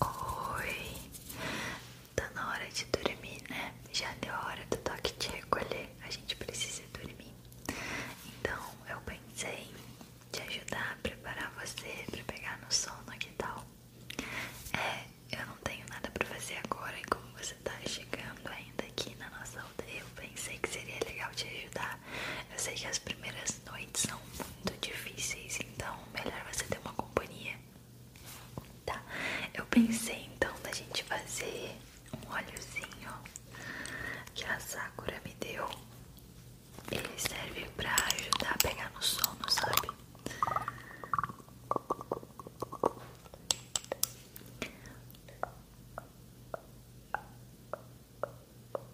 Oi, tá na hora de dormir, né? Já deu a hora do toque de recolher, a gente precisa dormir. Então eu pensei em te ajudar a preparar você pra pegar no sono, e tal? É, eu não tenho nada pra fazer agora e como você tá chegando ainda aqui na nossa aldeia, eu pensei que seria legal te ajudar. Eu sei que as primeiras noites são muito difíceis, então melhor você ter uma companhia. Tá, eu pensei então da gente fazer um óleozinho que a Sakura me deu. Ele serve pra ajudar a pegar no sono, sabe?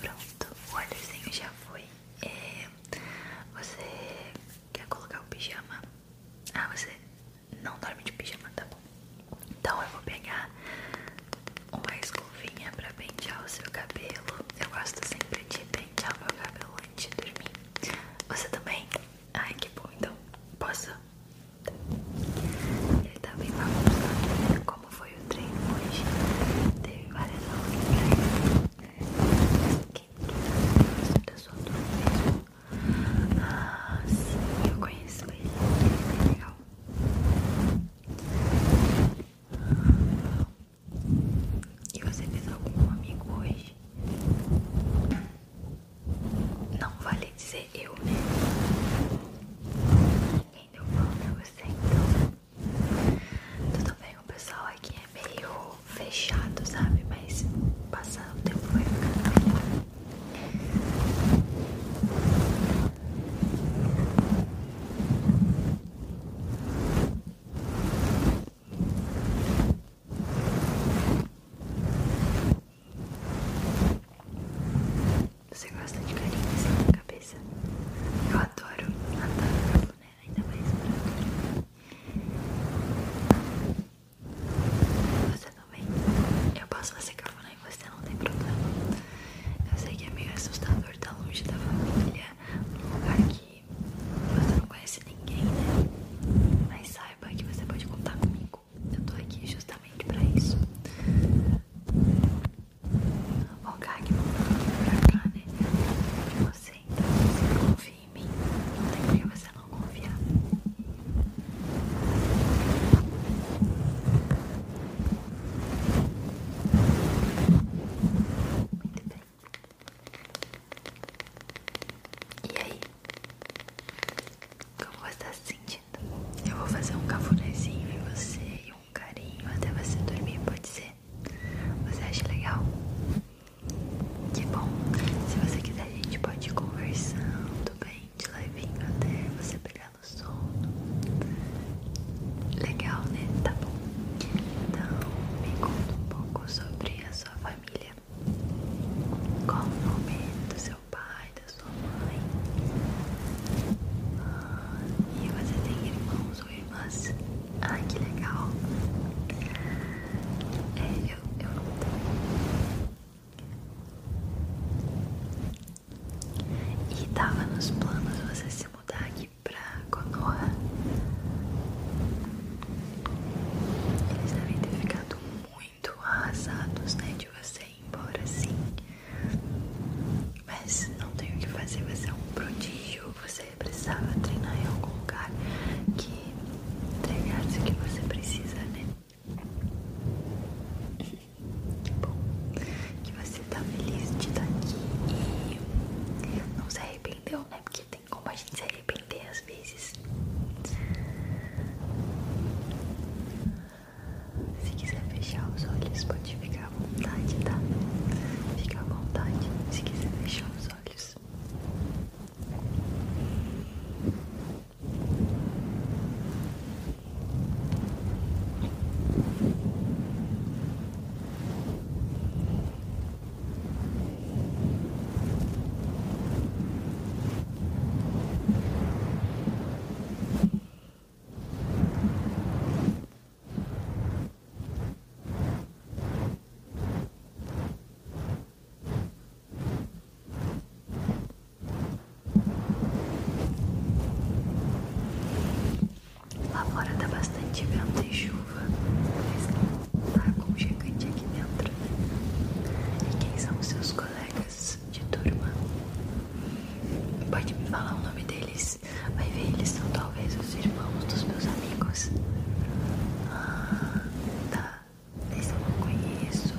Pronto, o olhozinho já foi. É, você quer colocar o pijama? Ah, você não dorme de pijama, tá bom? Então eu vou pegar uma escovinha pra pentear o seu cabelo. Eu gosto sempre de pentear meu cabelo antes de dormir. Você também? Ai, que bom. Então, posso ele tá bem bagunçado. Como foi o treino hoje? Teve várias aulas né? Quem que da sua turma mesmo? Ah, eu conheço ele. Ele é legal. E você fez algum amigo hoje? Não vale dizer eu, né? Ninguém deu mal pra você, então. Tudo bem, o pessoal aqui é meio fechado, sabe? Mas passando o tempo vai ficar tá melhor. Então, você gosta de carinho assim na cabeça? Eu adoro, adoro, né? Ainda mais pra Você também? Eu posso fazer cafuné em você, não tem problema. Eu sei que é meio assustador estar longe da família, num lugar que você não conhece ninguém, né? Mas saiba que você pode contar comigo comigo. Eu tô aqui justamente pra isso. Ó, Gag, vamos pra cá, né? De você, então você confia em mim. Não tem por que você não confiar. Muito bem. E aí? Como você tá se sentindo? Eu vou fazer um cafunézinho em você e um carinho até você dormir, pode ser? Você acha legal? Que bom! Se você quiser, a gente pode ir conversando bem de levinho até você pegar no sono. Legal, né? Tá bom. Então, me conta um pouco sobre a sua família. Qual o nome do seu pai, da sua mãe? Ah, e você tem irmãos ou irmãs? Ai, que legal! É, eu, eu não tenho. E tava nos planos você se mudar aqui pra Konoha? Eles devem ter ficado muito arrasados, né? De você ir embora assim. Mas não tenho que fazer, você é um prodígio. Você precisava treinar em algum lugar que entregasse o que você precisa, né? Que bom que você tá feliz de estar aqui e não se arrependeu, né? como a gente se arrepender às vezes. Se quiser fechar os olhos, pode ficar à vontade, tá? Fica à vontade se quiser fechar os olhos. Relaxa Agora fora tá bastante vento e chuva chuva, mas tá aconchegante aqui dentro, E quem são os seus colegas de turma? Pode me falar o nome deles? Vai ver, eles são talvez os irmãos dos meus amigos. Ah, tá. Esse eu não conheço.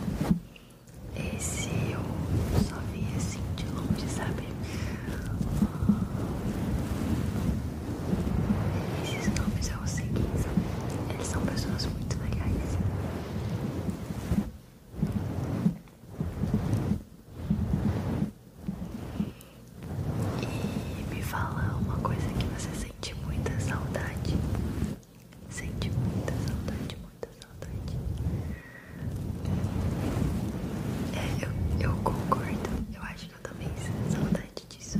Esse eu só vi assim de longe, sabe? esses nomes eu segui, eles são pessoas muito legais. E me fala uma coisa que você sente muita saudade. Sente muita saudade, muita saudade. É, eu, eu concordo. Eu acho que eu também sinto saudade disso.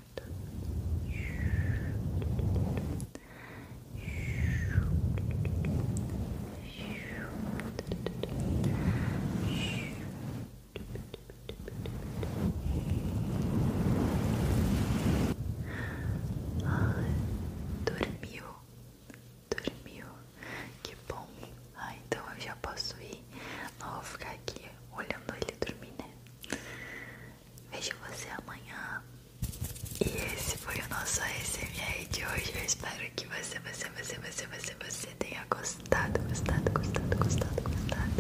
Ai, dormiu, dormiu, que bom. Ah, então eu já posso ir. Não vou ficar aqui olhando ele dormir, né? Vejo você amanhã. E esse foi o nosso ASMR de hoje. Eu espero que você, você, você, você, você, você tenha gostado, gostado, gostado, gostado, gostado.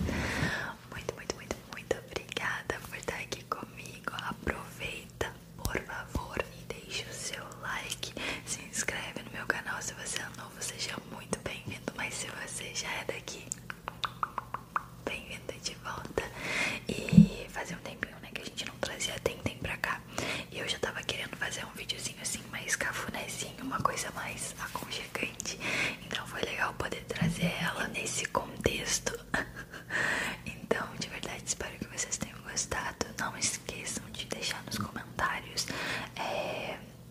Muito, muito, muito, muito obrigada por estar aqui comigo. Aproveita, por favor, e deixe o seu like. Se inscreve no meu canal se você seja muito bem-vindo. Mas se você já é daqui, bem vinda de volta. E fazia um tempinho, né, que a gente não trazia Tenten pra cá. E eu já tava querendo fazer um videozinho assim, mais cafunézinho, uma coisa mais aconchegante. Então foi legal poder trazer ela nesse contexto. então, de verdade, espero que vocês tenham gostado. Não esqueçam de deixar nos comentários. É,